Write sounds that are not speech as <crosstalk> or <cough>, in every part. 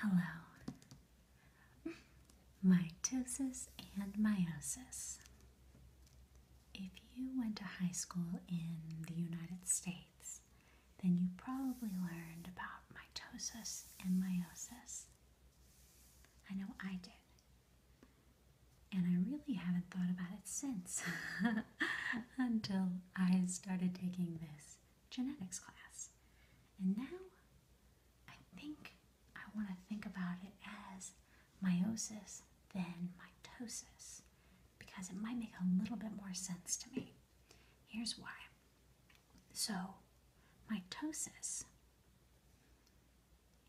Hello. Mitosis and meiosis. If you went to high school in the United States, then you probably learned about mitosis and meiosis. I know I did. And I really haven't thought about it since <laughs> until I started taking this genetics class. And now I think I want to think about it as meiosis then mitosis because it might make a little bit more sense to me. Here's why. So, mitosis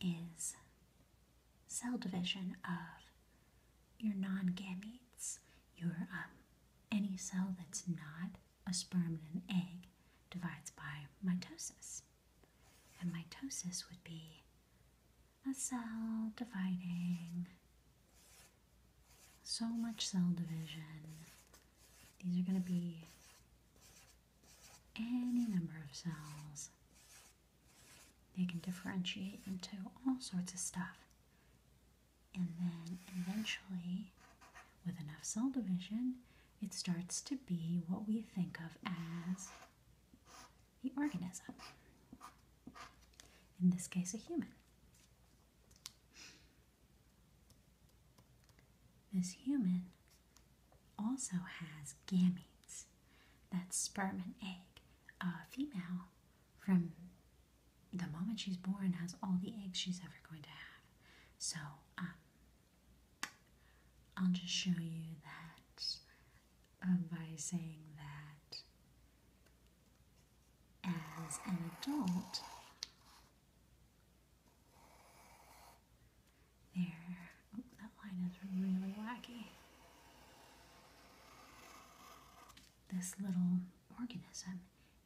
is cell division of your non-gametes, your um, any cell that's not a sperm and an egg divides by mitosis. And mitosis would be a cell dividing, so much cell division. These are going to be any number of cells. They can differentiate into all sorts of stuff and then eventually, with enough cell division, it starts to be what we think of as the organism. In this case, a human. This human also has gametes. That's sperm and egg. A female from the moment she's born has all the eggs she's ever going to have. So um, I'll just show you that um, by saying that as an adult, there. Oh, that line is really wacky. This little organism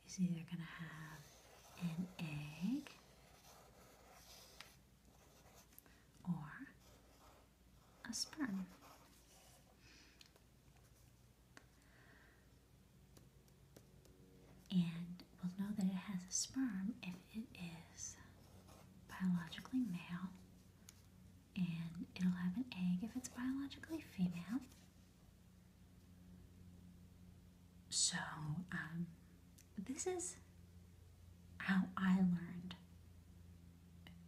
is either going to have an egg or a sperm. And we'll know that it has a sperm if it is biologically male and it'll have an egg if it's biologically female. So, um, this is how I learned.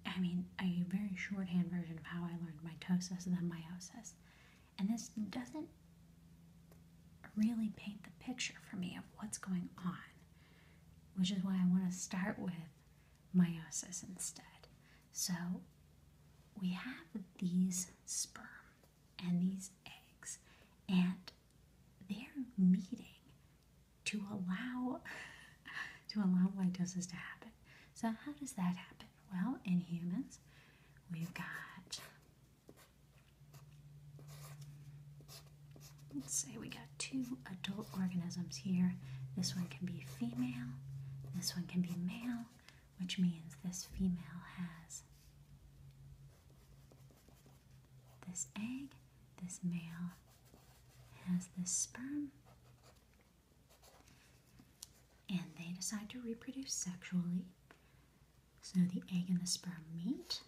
I mean, a very shorthand version of how I learned mitosis and then meiosis. And this doesn't really paint the picture for me of what's going on, which is why I want to start with meiosis instead. So we have these sperm and these eggs, and they're meeting to allow <laughs> to allow mitosis to happen. So how does that happen? Well, in humans, we've got let's say we got two adult organisms here. This one can be female, this one can be male, which means this female has this egg, this male has this sperm, and they decide to reproduce sexually. So the egg and the sperm meet,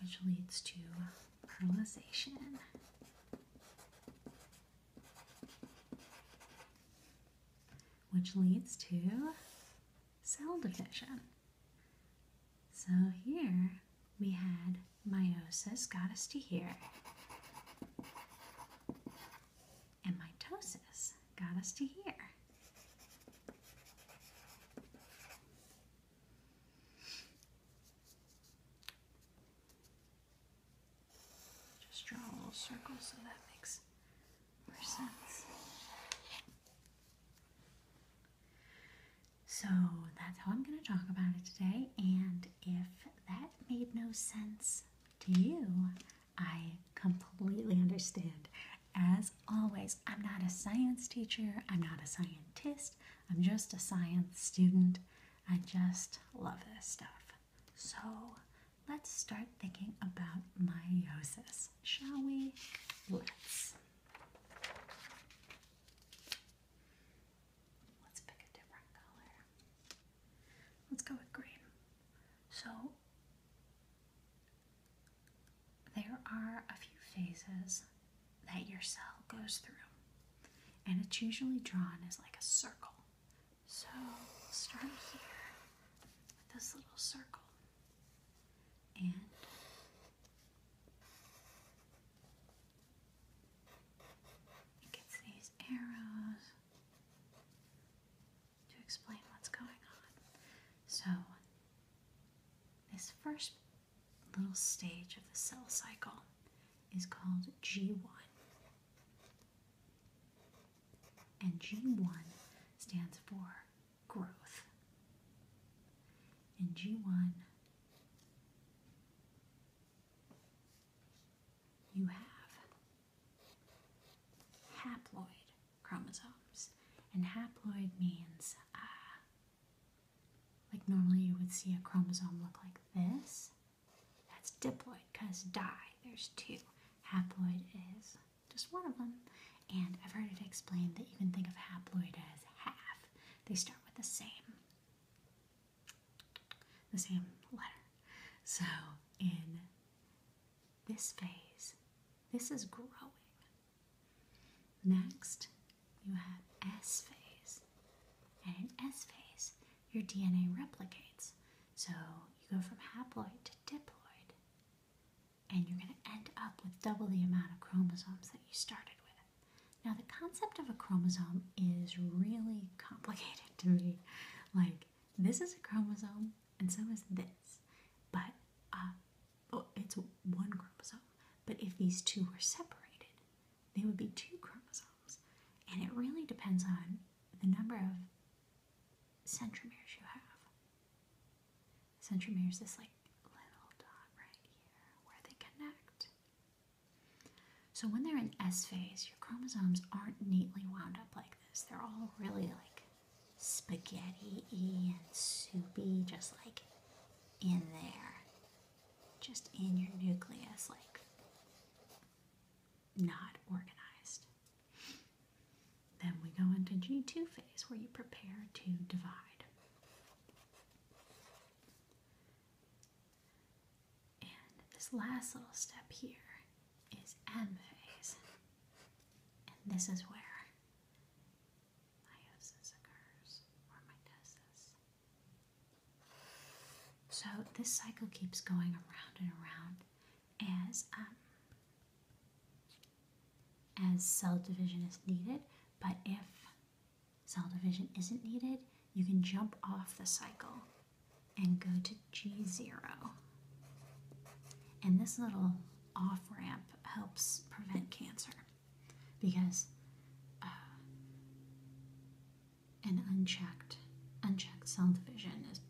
which leads to fertilization which leads to cell division. So here we had meiosis got us to here, and mitosis got us to here. Just draw a little circle so that makes more sense. So that's how I'm going to talk about it today. And if that made no sense to you, I completely understand. As always, I'm not a science teacher, I'm not a scientist, I'm just a science student. I just love this stuff. So let's start thinking about meiosis, shall we? Let's. Let's pick a different color. Let's go with green. So there are a few phases that your cell goes through, and it's usually drawn as like a circle. So start here with this little circle and it gets these arrows to explain what's going on. So this first little stage of the cell cycle is called G1. And G1 stands for growth. And G1, you have haploid chromosomes. And haploid means, uh, like normally you would see a chromosome look like this. That's diploid because die. there's two. Haploid is just one of them. And I've heard it explained that you can think of haploid as half. They start with the same, the same letter. So in this phase, this is growing. Next, you have S phase. And in S phase, your DNA replicates. So you go from haploid to diploid, and you're going to end up with double the amount of chromosomes that you started with. Now, the concept of a chromosome is really complicated to me. Like, this is a chromosome, and so is this, but uh, oh, it's one chromosome. But if these two were separated, they would be two chromosomes. And it really depends on the number of centromeres you have. Centromeres is this like little dot right here where they connect. So when they're in S phase, your chromosomes aren't neatly wound up like this. They're all really like spaghetti y and soupy, just like in there, just in your nucleus, like not organized. Then we go into G2 phase where you prepare to divide. And this last little step here is M phase. And this is where meiosis occurs, or mitosis. So this cycle keeps going around and around as um, as cell division is needed. But if cell division isn't needed, you can jump off the cycle and go to G0. And this little off ramp helps prevent cancer because uh, and unchecked unchecked cell division is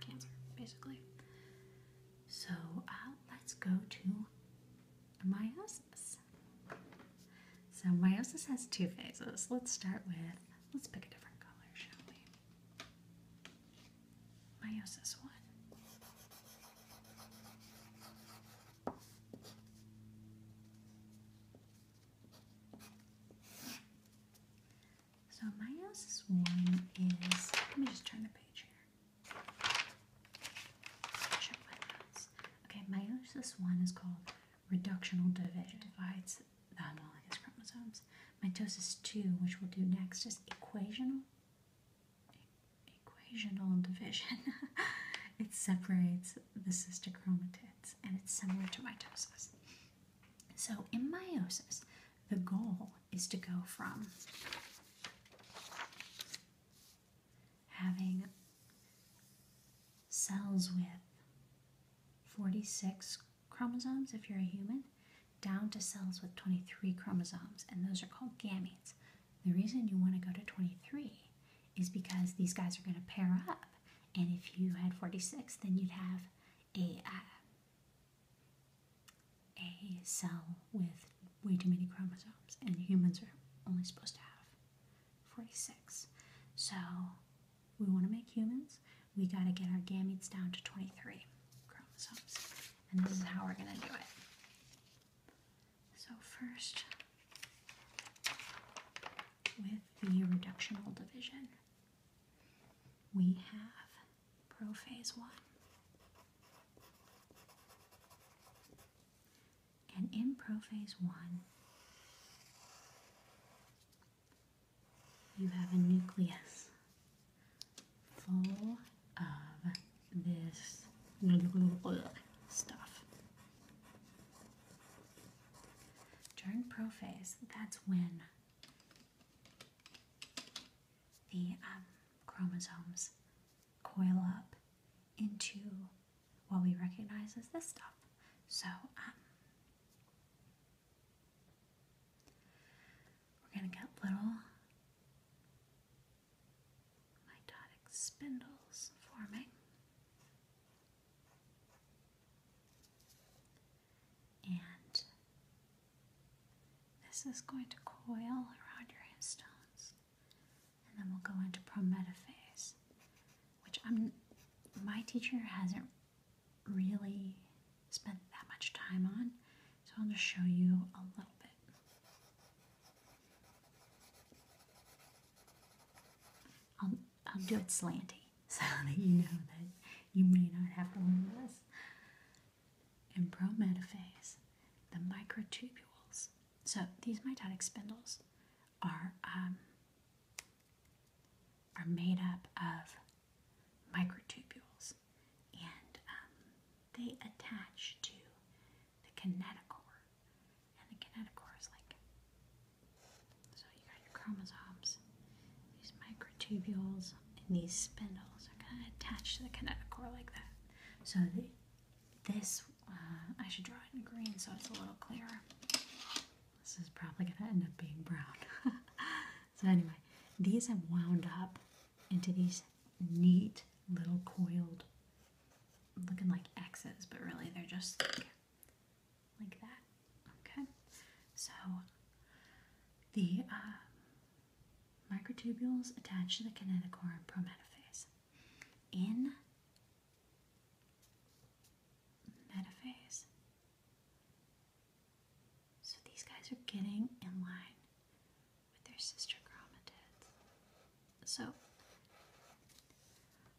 cancer basically so uh, let's go to meiosis so meiosis has two phases let's start with let's pick a different color shall we meiosis one so my house's one is let me just turn the page here. Okay, my house's one is called reductional division. It divides the ah, homologous chromosomes. Mitosis two, which we'll do next, is equational. equational division. <laughs> it separates the sister chromatids, and it's similar to mitosis. So, in meiosis, the goal is to go from having cells with 46 chromosomes if you're a human down to cells with 23 chromosomes, and those are called gametes. The reason you want to go to 23 is because these guys are going to pair up, and if you had 46, then you'd have a, cell with way too many chromosomes, and humans are only supposed to have 46. So we want to make humans, we got to get our gametes down to 23 chromosomes. And this is how we're going to do it. So first, with the reductional division, we have prophase 1. And in prophase 1, you have a nucleus full of this stuff. During prophase, that's when the um, chromosomes coil up into what we recognize as this stuff. So, um, we're going to get little mitotic spindles forming and this is going to coil around your histones and then we'll go into prometaphase which my teacher hasn't really spent that much time on so I'll to show you a little bit I'll, I'll do it slanty so <laughs> that you know that you may not have one of this. In prometaphase, the microtubules, so these mitotic spindles are, um, are made up of microtubules and um, they attach to the kinetochore. And the kinetochore is like, so you got your chromosomes these microtubules and these spindles are going to attach to the kinetochore like that. So this, uh, I should draw it in green so it's a little clearer. This is probably going to end up being brown. <laughs> so anyway, these have wound up into these neat little coiled, looking like X's, but really they're just like that. Okay, so the uh, microtubules attached to the kinetochore in prometaphase. In metaphase, so these guys are getting in line with their sister chromatids. So,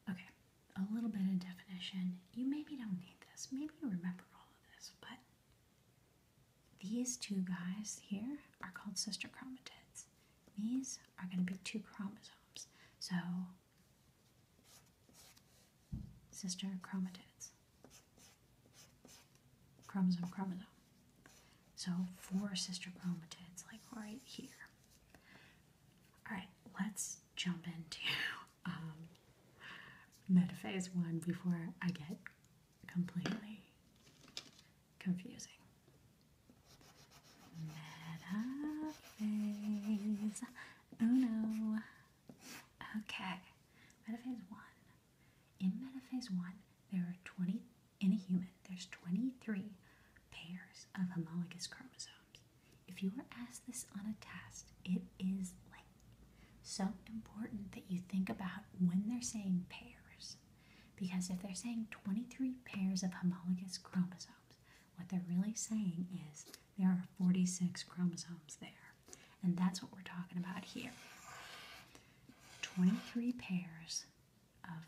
okay, a little bit of definition. You maybe don't need this. Maybe you remember all of this, but these two guys here are called sister chromatids. These are going to be two chromosomes. So, sister chromatids. Chromosome, chromosome. So, four sister chromatids, like right here. Alright, let's jump into um, metaphase one before I get completely confusing. Metaphase uno. Oh okay, metaphase one. In metaphase one, there are 20, in a human, there's 23 pairs of homologous chromosomes. If you were asked this on a test, it is like so important that you think about when they're saying pairs. Because if they're saying 23 pairs of homologous chromosomes, what they're really saying is there are 46 chromosomes there. And that's what we're talking about here. 23 pairs of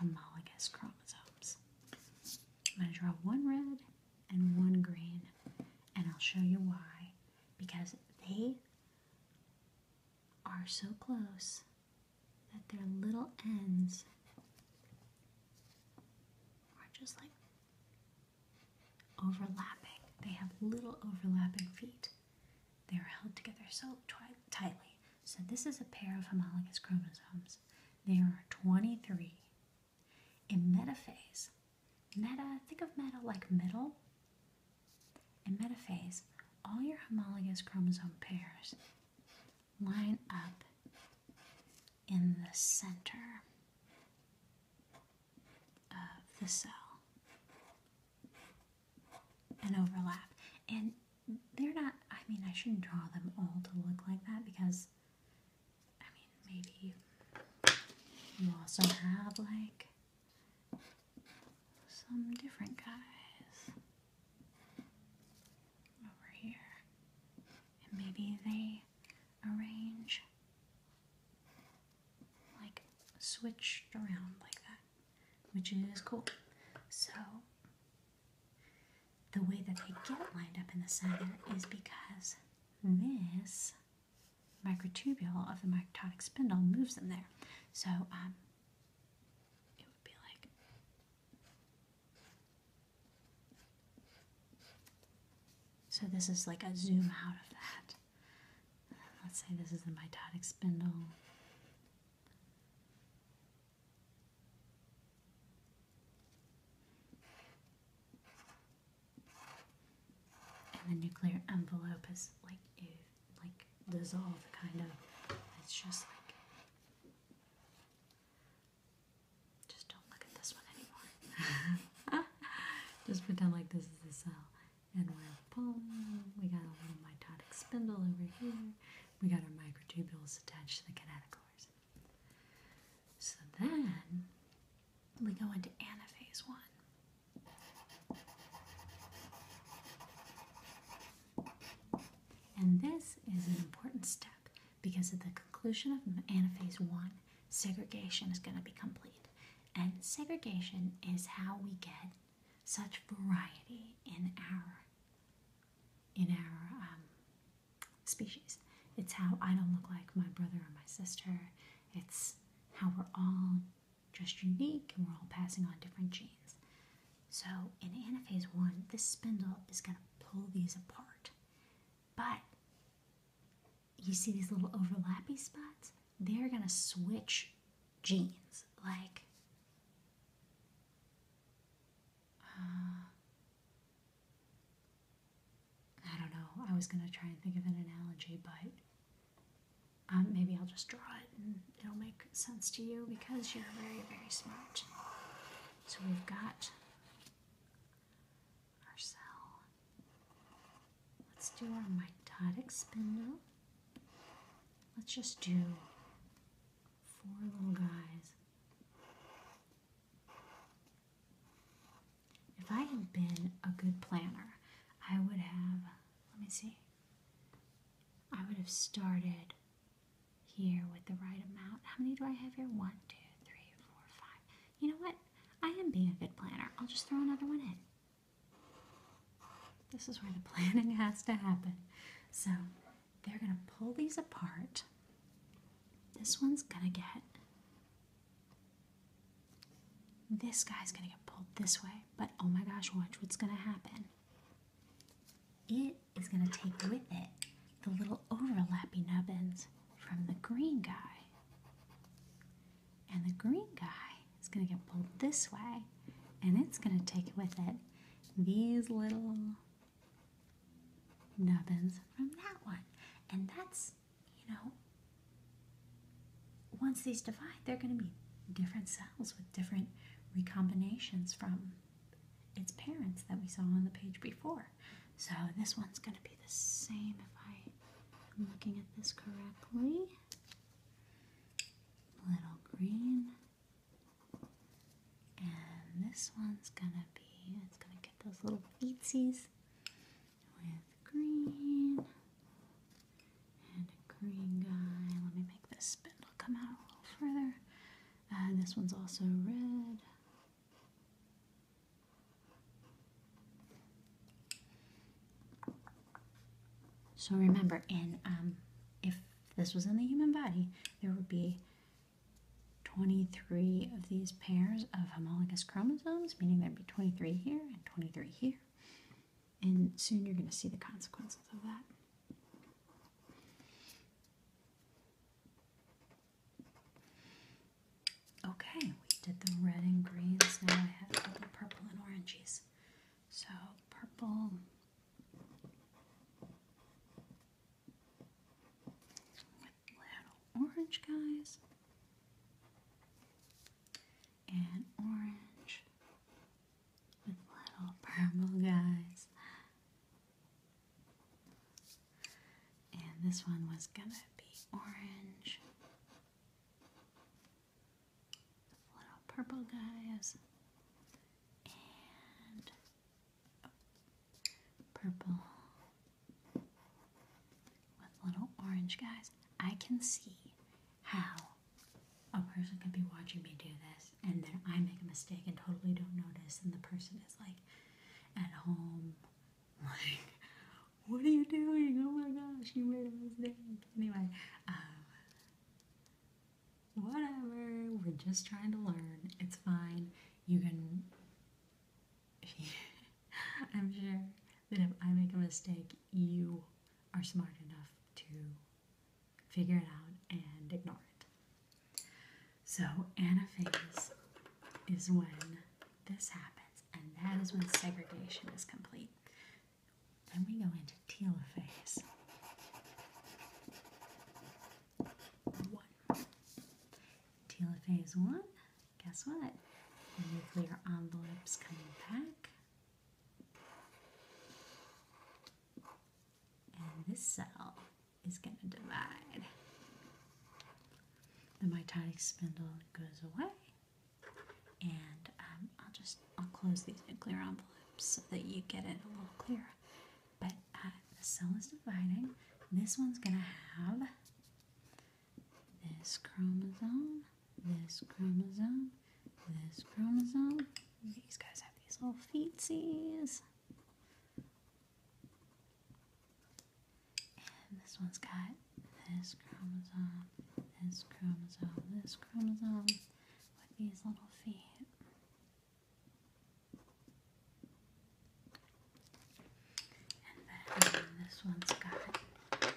homologous chromosomes. I'm going to draw one red and one green, and I'll show you why. Because they are so close that their little ends are just like overlapping. They have little overlapping feet. They are held together so tightly. So, this is a pair of homologous chromosomes. There are 23. In metaphase, Meta, think of meta like middle. In metaphase, all your homologous chromosome pairs line up in the center of the cell and overlap. And they're not, I mean, I shouldn't draw them all to look like that because, I mean, maybe you also have like some different guys over here, and maybe they arrange like switched around like that, which is cool. So, the way that they get lined up in the center is because this microtubule of the mitotic spindle moves them there. So um, it would be like so. This is like a zoom out of that. Let's say this is the mitotic spindle and the nuclear envelope is like like dissolved kind of it's just like just don't look at this one anymore <laughs> just pretend like this is the cell and we're pulling we got a little mitotic spindle over here we got our microtubules attached to the kinetochores so then we go into anaphase one and this is an important step because at the conclusion of Anaphase 1, segregation is going to be complete. And segregation is how we get such variety in our in our um, species. It's how I don't look like my brother or my sister. It's how we're all just unique and we're all passing on different genes. So in anaphase one, this spindle is going to pull these apart. But you see these little overlapping spots? They're going to switch genes. Like, uh, I don't know, I was going to try and think of an analogy, but um, maybe I'll just draw it and it'll make sense to you because you're very, very smart. So we've got our cell. Let's do our mitotic spindle. Let's just do four little guys. If I had been a good planner, I would have let me see. I would have started here with the right amount. How many do I have here? One, two, three, four, five. You know what? I am being a good planner. I'll just throw another one in. This is where the <laughs> planning has to happen. So they're going to pull these apart. This one's going to get this guy's gonna get pulled this way, but oh my gosh, watch what's gonna happen. It is gonna take with it the little overlapping nubbins from the green guy. And the green guy is gonna get pulled this way, and it's gonna take with it these little nubbins from that one. And that's, you know, once these divide, they're going to be different cells with different recombinations from its parents that we saw on the page before. So this one's going to be the same if I am looking at this correctly. Little green. And this one's going to be, it's going to get those little feetsies with green and a green guy. Let me make this spindle come out a little further. Uh, this one's also red. So remember, in um, if this was in the human body, there would be 23 of these pairs of homologous chromosomes, meaning there'd be 23 here and 23 here. And soon you're going to see the consequences of that. Okay, we did the red and greens. Now I have the purple and oranges. So purple. orange guys and orange with little purple guys. And this one was gonna be orange with little purple guys and purple with little orange guys. I can see how a person could be watching me do this and then I make a mistake and totally don't notice, and the person is like at home, <laughs> like, What are you doing? Oh my gosh, you made a mistake. Anyway, um, whatever, we're just trying to learn. It's fine. You can. <laughs> I'm sure then if I make a mistake, you are smart enough to figure it out and ignore it. So, anaphase is when this happens, and that is when segregation is complete. Then we go into telophase. One. Telophase one, guess what? nuclear envelopes coming back. And this cell is going to divide. The mitotic spindle goes away. And um, I'll just I'll close these nuclear envelopes so that you get it a little clearer. But uh, the cell is dividing. This one's going to have this chromosome this chromosome, this chromosome. These guys have these little feeties, And this one's got this chromosome, this chromosome, this chromosome with these little feet. And then this one's got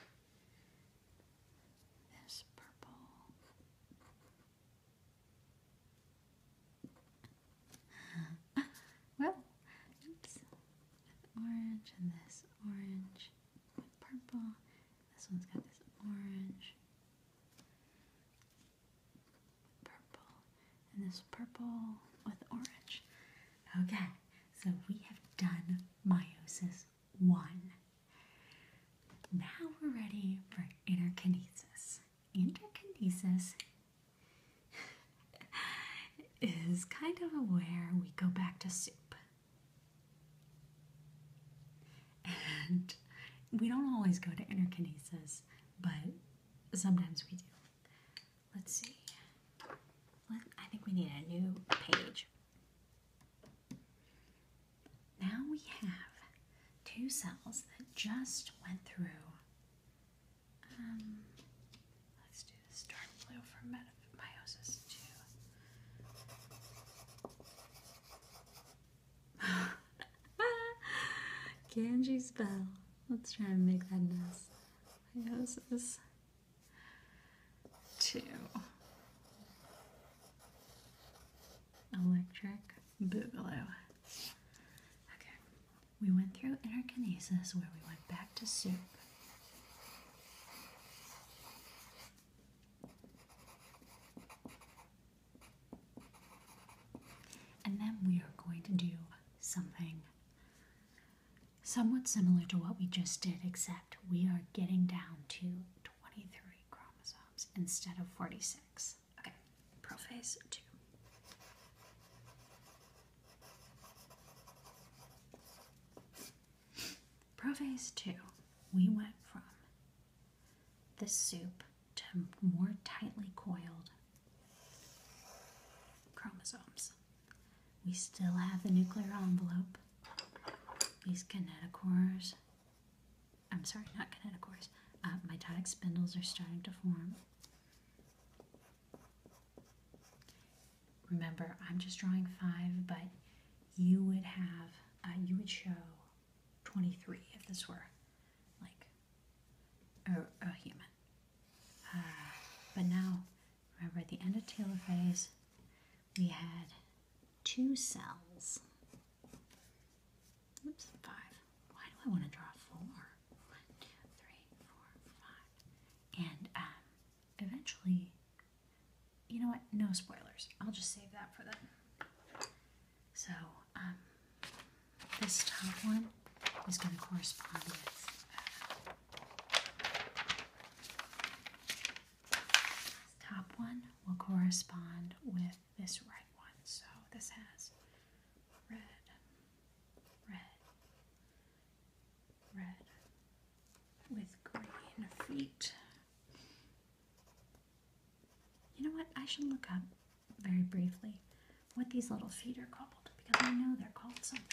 this purple. <laughs> well, oops. Orange and this orange with purple. This one's got this orange purple and this purple with orange. Okay, so we have done meiosis one. Now we're ready for interkinesis. Interkinesis <laughs> is kind of where we go back to soup. And we don't always go to interkinesis, but sometimes we do. Let's see. I think we need a new page. Now we have two cells that just went through. Um, let's do this dark blue for mitosis two. <laughs> Kanji spell. Let's try and make that nice. Meiosis two. Electric Boogaloo. Okay, we went through interkinesis where we went back to soup. And then we are going to do something somewhat similar to what we just did, except we are getting down to 23 chromosomes instead of 46. Okay, prophase 2. Prophase 2, we went from the soup to more tightly coiled chromosomes. We still have the nuclear envelope, these kinetochores, I'm sorry, not kinetochores. Uh, my tag spindles are starting to form. Remember, I'm just drawing five, but you would have, uh, you would show 23 if this were like a, human. Uh, but now, remember at the end of Taylor phase, we had two cells. Oops, five. Why do I want to draw four? One, two, three, four, five. And um, eventually, you know what? No spoilers. I'll just save that for them. So, um, this top one is going to correspond with. Uh, top one will correspond with this right one. So this has red, red, red with green feet. You know what? I should look up very briefly what these little feet are called because I know they're called something.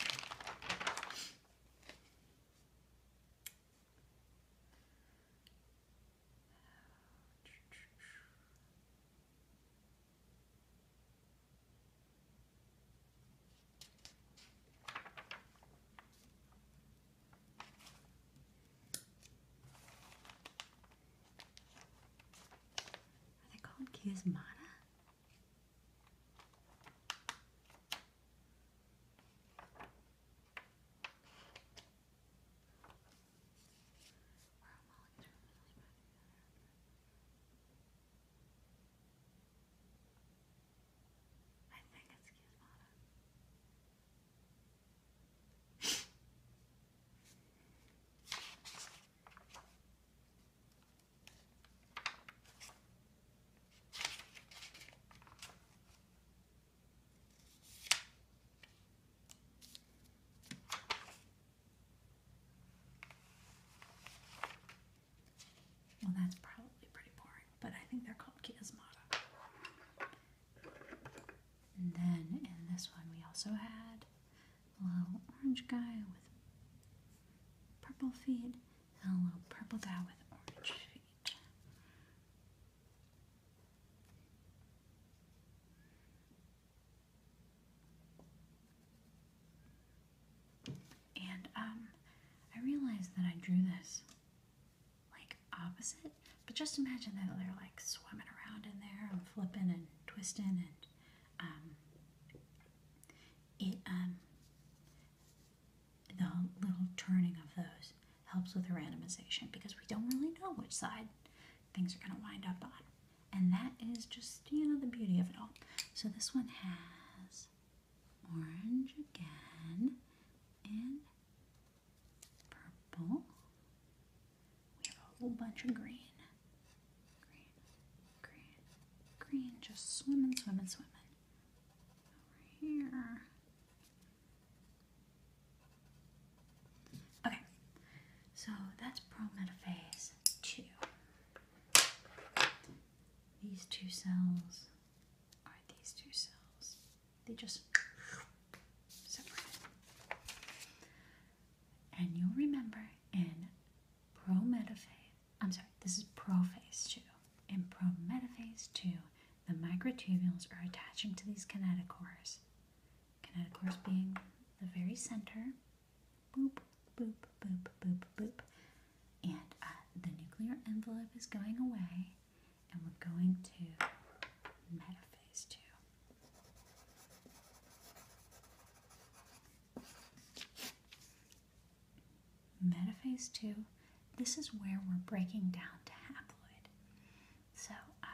Are they called Kismata? I think it's Gizmodo. Well, that's probably pretty boring, but I think they're called Chiasmata. And then in this one, we also had a little orange guy with purple feet and a little purple guy with orange feet. And um, I realized that I drew this like opposite, but just imagine that they're like swimming around in there and flipping and twisting and um, it um, the little turning of those helps with randomization because we don't really know which side things are going to wind up on. And that is just, you know, the beauty of it all. So this one has orange again and purple. We have a whole bunch of green. Green, green, green. Just swimming, swimming, swimming. Over here. Okay, so that's prometaphase 2. These two cells are these two cells. They just separate. And you'll remember in prometaphase, I'm sorry, this is prophase 2. In prometaphase 2, the microtubules are attaching to these kinetochores Kinetochorus being the very center. Boop, boop, boop, boop, boop. And uh, the nuclear envelope is going away, and we're going to metaphase 2. Metaphase 2, this is where we're breaking down to haploid. So uh,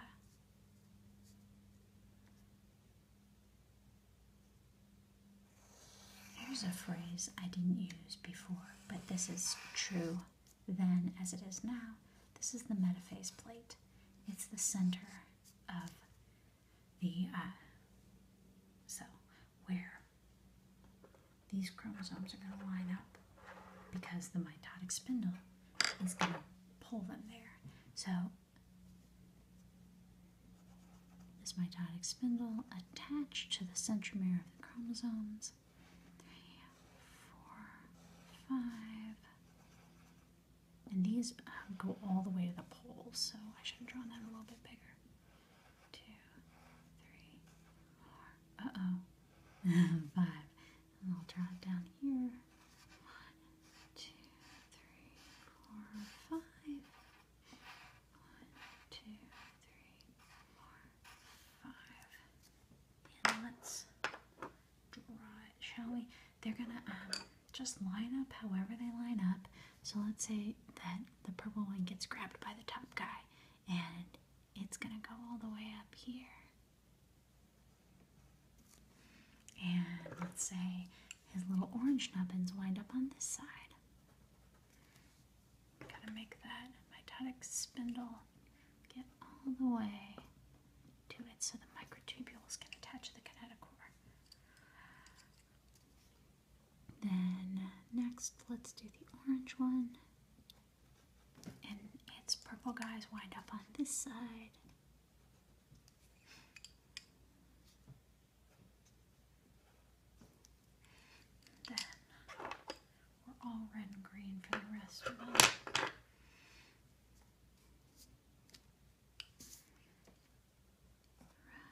Here's a phrase I didn't use before, but this is true then as it is now. This is the metaphase plate. It's the center of the uh, So, where these chromosomes are going to line up because the mitotic spindle is going to pull them there. So this mitotic spindle attached to the centromere of the chromosomes. Three, four, five. And these uh, go all the way to the poles. so I should have drawn that a little bit bigger. Two, three, four. Uh oh. <laughs> five. I'll drag down here. One, two, three, four, five. One, two, three, four, five. let's draw it, shall we? They're gonna um, just line up however they line up. So let's say that the purple one gets grabbed by the top guy and it's gonna go all the way up here. And let's say his little orange nubbins wind up on this side. Gotta make that mitotic spindle get all the way to it so the microtubules can attach to the kinetochore. Then next, let's do the orange one and its purple guys wind up on this side. Then we're all red and green for the rest of them. Red,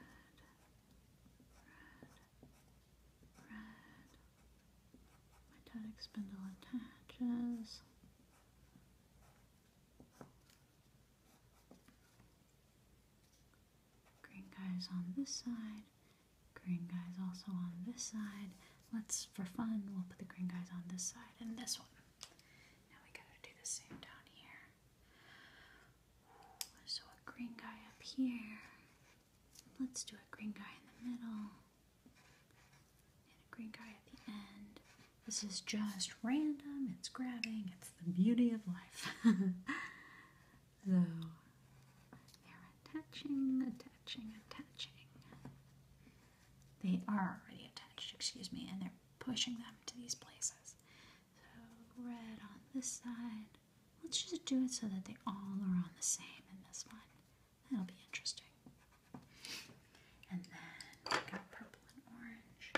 red, red. Mytonic spindle attaches. Green guys on this side, green guys also on this side. Let's, for fun, we'll put the green guys on this side and this one. Now we gotta do the same down here. So a green guy up here. Let's do a green guy in the middle and a green guy at the end. This is just random, it's grabbing, it's the beauty of life. <laughs> so, they're attaching, attaching, attaching. They are already attached, excuse me, and they're pushing them to these places. So, red on this side. Let's just do it so that they all are on the same in this one. That'll be interesting. And then we got purple and orange.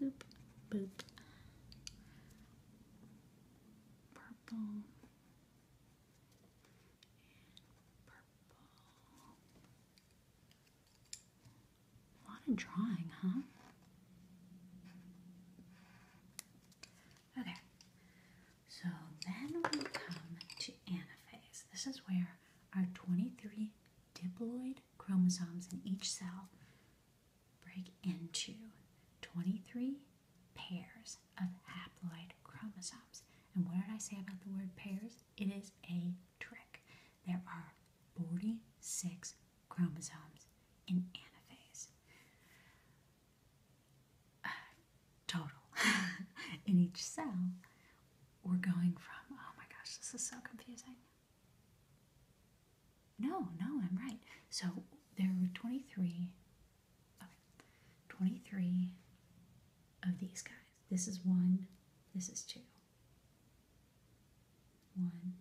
Boop, boop. Purple. purple. A lot of drawing, huh? Okay, oh, so then we come to anaphase. This is where our 23 diploid chromosomes in each cell break into 23 pairs of haploid chromosomes. And what did I say about the word pairs? It is a trick. There are 46 chromosomes in anaphase. Uh, total <laughs> in each cell, we're going from, oh my gosh, this is so confusing. No, no, I'm right. So there are 23, 23 of these guys. This is one, this is two. One,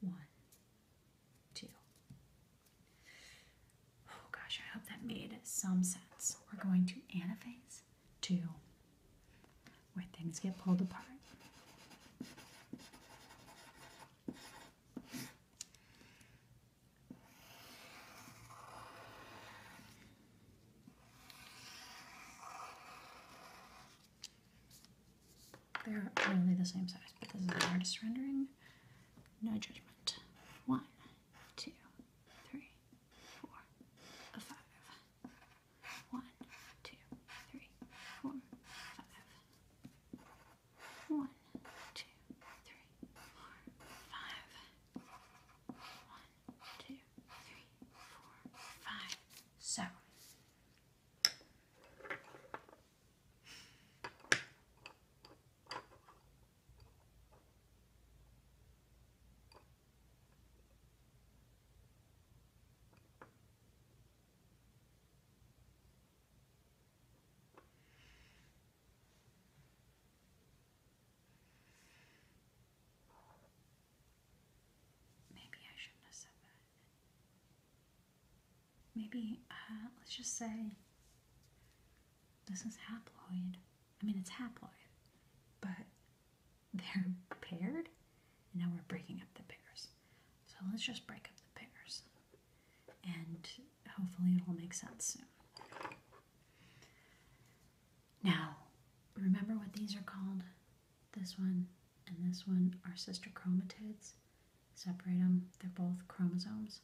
one, too. Oh gosh, I hope that made some sense. We're going to anaphase two, where things get pulled apart. They're really the same size, but this is the artist rendering. No judgment. One, two, three, four, five. One, two, three, four, five. One, two, three, four, five. One, two, three, four, five. So Maybe I shouldn't have said that maybe uh, let's just say this is haploid. I mean, it's haploid, but <laughs> they're paired, and now we're breaking up the pairs. So let's just break up the pairs, and hopefully, it'll make sense soon. Now, remember what these are called? This one and this one are sister chromatids. Separate them, they're both chromosomes,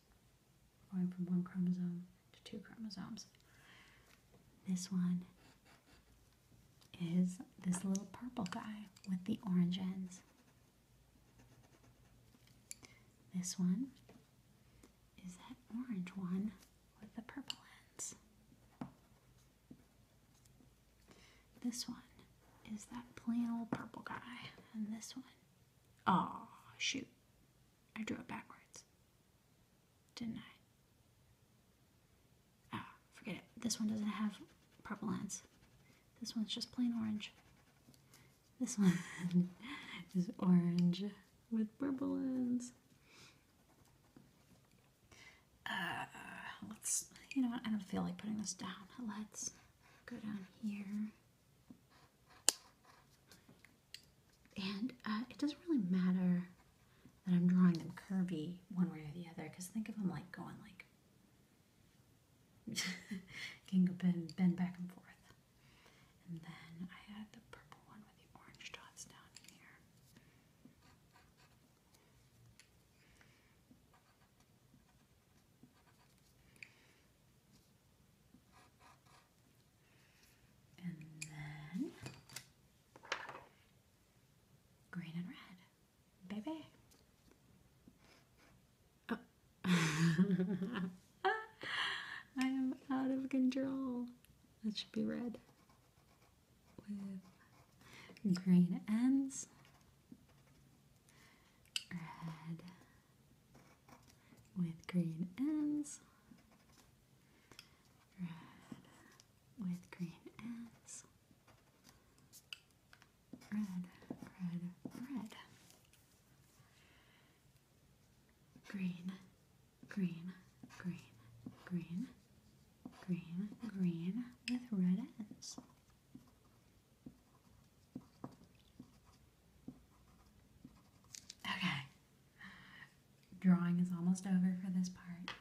going from one chromosome to two chromosomes. This one is this little purple guy with the orange ends. This one is that orange one with the purple ends. This one is that plain old purple guy. And this one. Oh, shoot. I drew it backwards. Didn't I? Ah, forget it. This one doesn't have purple ends. This one's just plain orange. This one <laughs> is orange with purple ends. Uh, let's, you know what, I don't feel like putting this down. Let's Go down here. And uh, it doesn't really matter that I'm drawing them curvy one way or the other because think of them like going like <laughs> can go bend, bend back and forth. And then I add the purple one with the orange dots down here. And then green and red. Baby. Oh. <laughs> I am out of control. That should be red with green ends red with green ends, red with green ends, red, red, red, green, green, green, green, green, green with red ends. Okay. Drawing is almost over for this part.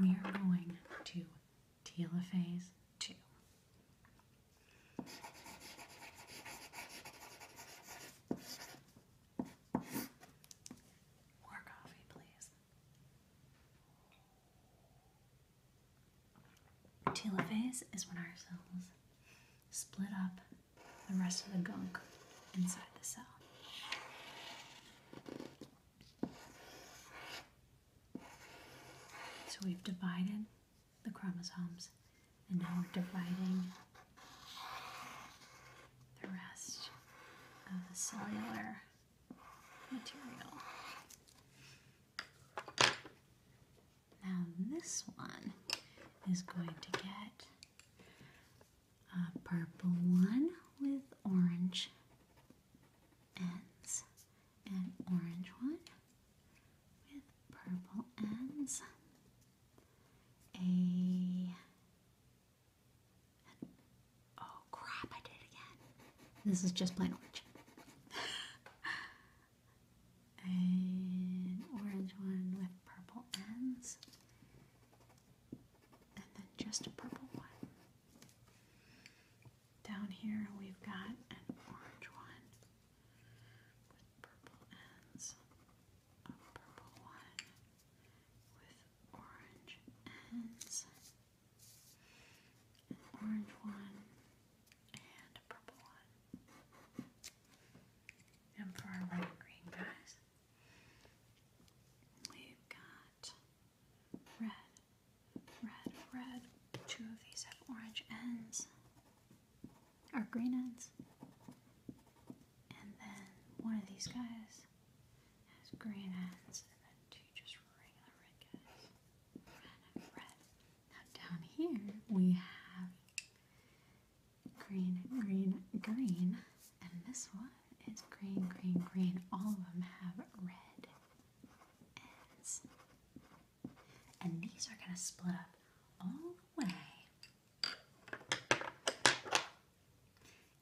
We are going to telophase 2. More coffee, please. Telophase is when our cells split up the rest of the gunk inside the cell. So we've divided the chromosomes and now we're dividing the rest of the cellular material. Now this one is going to get a purple one with orange ends, an orange one with purple ends, a oh crap I did it again. This is just plain orange. <laughs> an orange one with purple ends, and then just a purple one. Down here we've got an orange one with purple ends, a purple one with orange ends, an orange one and a purple one. And for our red green guys, we've got red, red, red. Two of these have orange ends, or green ends. And then one of these guys has green ends, and then two just regular red guys. Red, red, now down here we have green, green, green, and this one is green, green, green. All of them have red ends. And these are going to split up all the way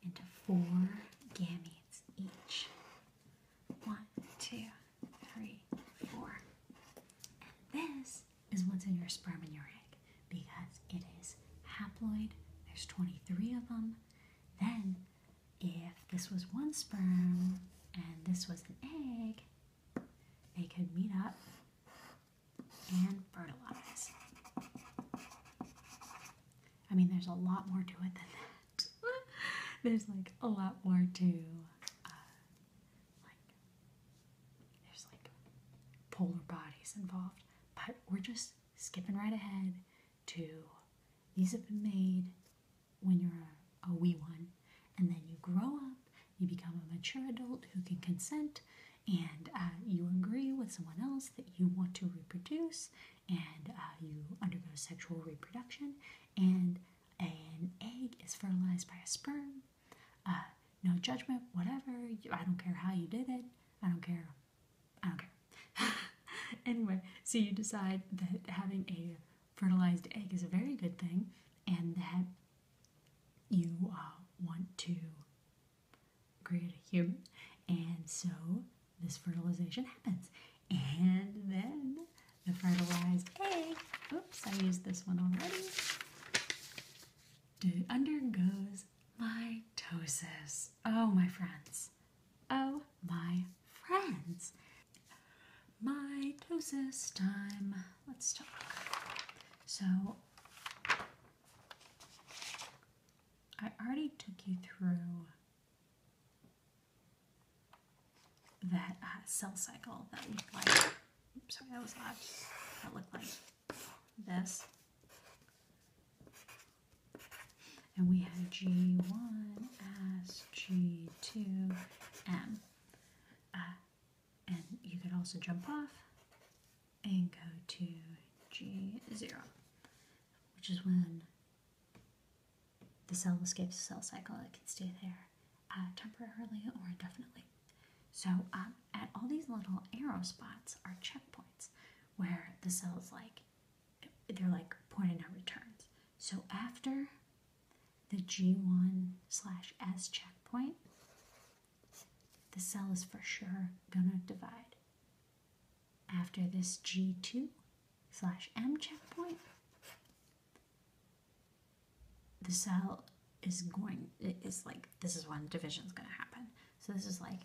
into four gametes each. One, two, three, four. And this is what's in your sperm and your egg because it is haploid. There's 23 of them. Then, if this was one sperm and this was an egg, they could meet up and fertilize. I mean, there's a lot more to it than that. <laughs> there's like a lot more to uh, like, there's like polar bodies involved. But we're just skipping right ahead to these have been made when you're a, wee one. And then you grow up, you become a mature adult who can consent, and uh, you agree with someone else that you want to reproduce, and uh, you undergo sexual reproduction. And an egg is fertilized by a sperm. Uh, no judgment, whatever. I don't care how you did it. I don't care. I <laughs> anyway, so you decide that having a fertilized egg is a very good thing and that you uh, want to create a human. And so this fertilization happens. And then the fertilized egg. Oops, I used this one already. undergoes mitosis. Oh, my friends. Oh, my friends. Mitosis time. Let's talk. So, I already took you through that uh, cell cycle that looked like, sorry, that was loud, that looked like this. And we had G1, S, G2, M. Uh, and you could also jump off and go to G0, which is when the cell escapes the cell cycle, it can stay there. Uh, temporarily or indefinitely. So um, at all these little arrow spots are checkpoints where the cell is like, they're like pointing out returns. So after the G1 slash S checkpoint, the cell is for sure gonna divide. After this G2 slash M checkpoint, the cell is going it's like this is when division is going to happen so this is like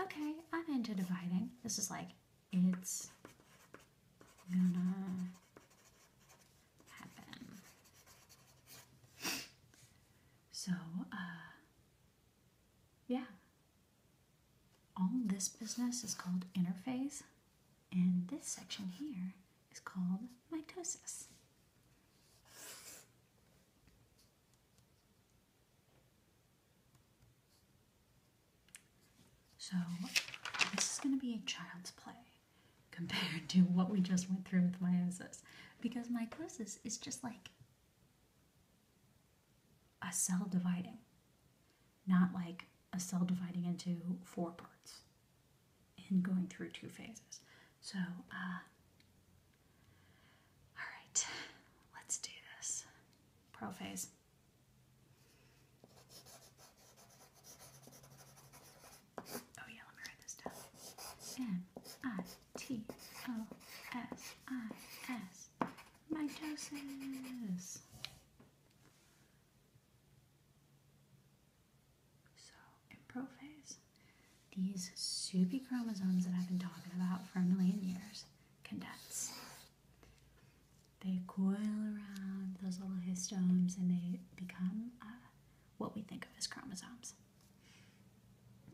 okay i'm into dividing this is like it's gonna happen so uh, yeah all this business is called interphase and this section here is called mitosis. So, this is going to be a child's play compared to what we just went through with meiosis because mitosis is just like a cell dividing, not like a cell dividing into four parts. In going through two phases. So, uh, all right, let's do this. Prophase. Oh, yeah, let me write this down. M I T O S I S. Mitosis. So in prophase, these soupy chromosomes that I've been talking about for a million years condense. They coil around those little histones and they become uh, what we think of as chromosomes.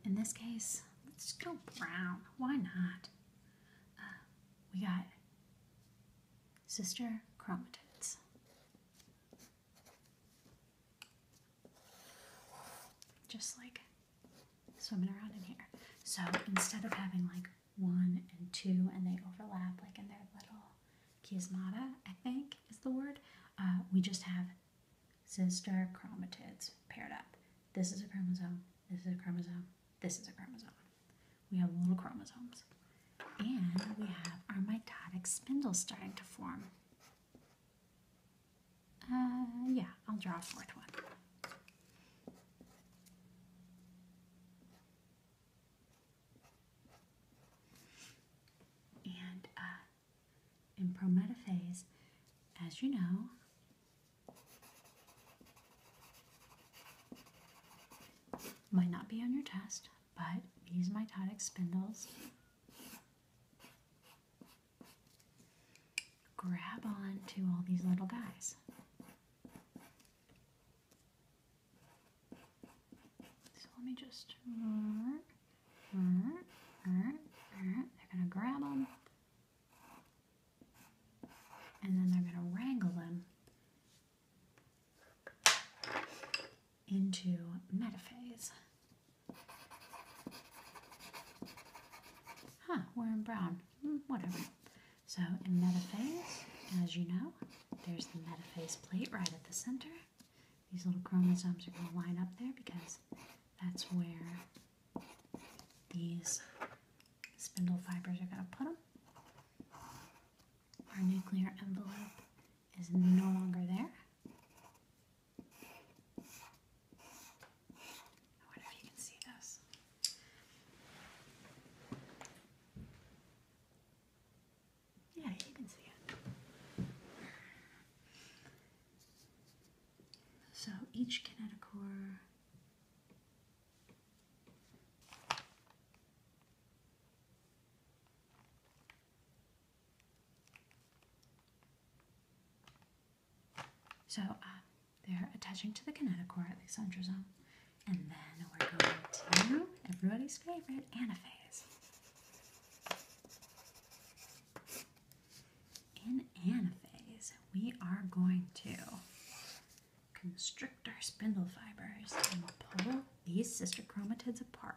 In this case, let's go brown. Why not? Uh, we got sister chromatids. Just like swimming around in here. So instead of having like one and two and they overlap like in their little chiasmata, I think is the word, uh, we just have sister chromatids paired up. This is a chromosome, this is a chromosome, this is a chromosome. We have little chromosomes. And we have our mitotic spindle starting to form. Uh, yeah, I'll draw a fourth one. And uh, in prometaphase, as you know, might not be on your test, but these mitotic spindles grab on to all these little guys. So let me just. They're going to grab them and then they're going to wrangle them into metaphase. Huh, we're in brown. Hmm, whatever. So in metaphase, as you know, there's the metaphase plate right at the center. These little chromosomes are going to line up there because that's where these spindle fibers are going to put them. Our nuclear envelope is no longer there. I wonder if you can see this. Yeah, you can see it. So each kinetochore so uh, they're attaching to the kinetochore at the centrosome, and then we're going to everybody's favorite anaphase. In anaphase, we are going to constrict our spindle fibers and pull these sister chromatids apart.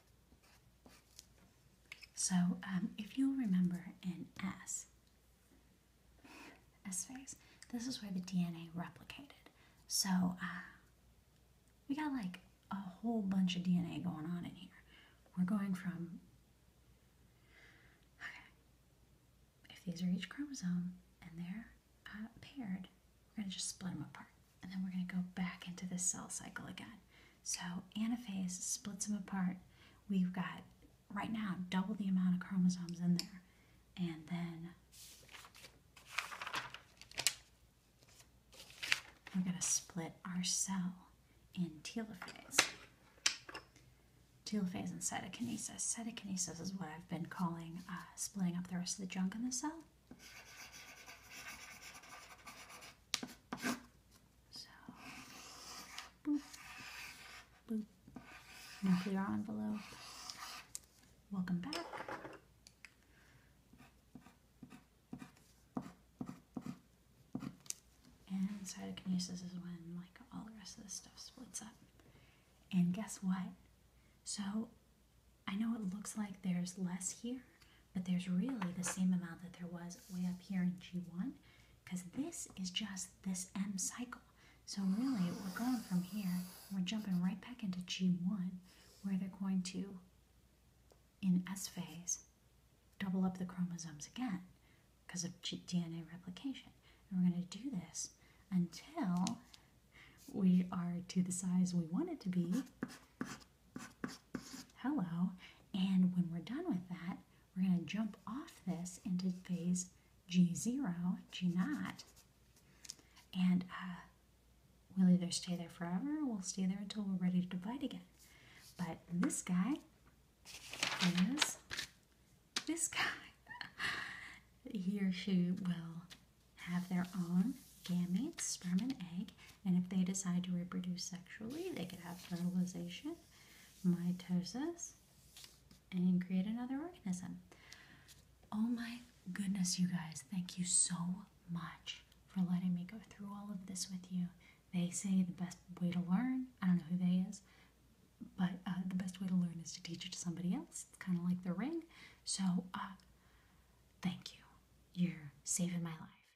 So um, if you remember in S, phase, this is where the DNA replicated. So uh, we got like a whole bunch of DNA going on in here. We're going from, okay, if these are each chromosome and they're uh, paired, we're going to just split them apart. And then we're going to go back into the cell cycle again. So anaphase splits them apart. We've got right now double the amount of chromosomes in there. And then we're going to split our cell in telophase. Telophase and cytokinesis. Cytokinesis is what I've been calling uh, splitting up the rest of the junk in the cell. So, Nuclear envelope. Welcome back. And cytokinesis is when like all the rest of this stuff splits up. And guess what? So I know it looks like there's less here, but there's really the same amount that there was way up here in G1 because this is just this M cycle. So really, we're going from here, we're jumping right back into G1 where they're going to, in S phase, double up the chromosomes again because of DNA replication. And we're going to do this until we are to the size we want it to be Hello. And when we're done with that, we're going to jump off this into phase G0, G not, And uh, we'll either stay there forever or we'll stay there until we're ready to divide again. But this guy is this guy. <laughs> he or she will have their own gametes, sperm and egg, and if they decide to reproduce sexually, they could have fertilization mitosis and create another organism. Oh my goodness, you guys, thank you so much for letting me go through all of this with you. They say the best way to learn, I don't know who they is, but uh, the best way to learn is to teach it to somebody else. It's kind of like the ring. So, uh, thank you. You're saving my life.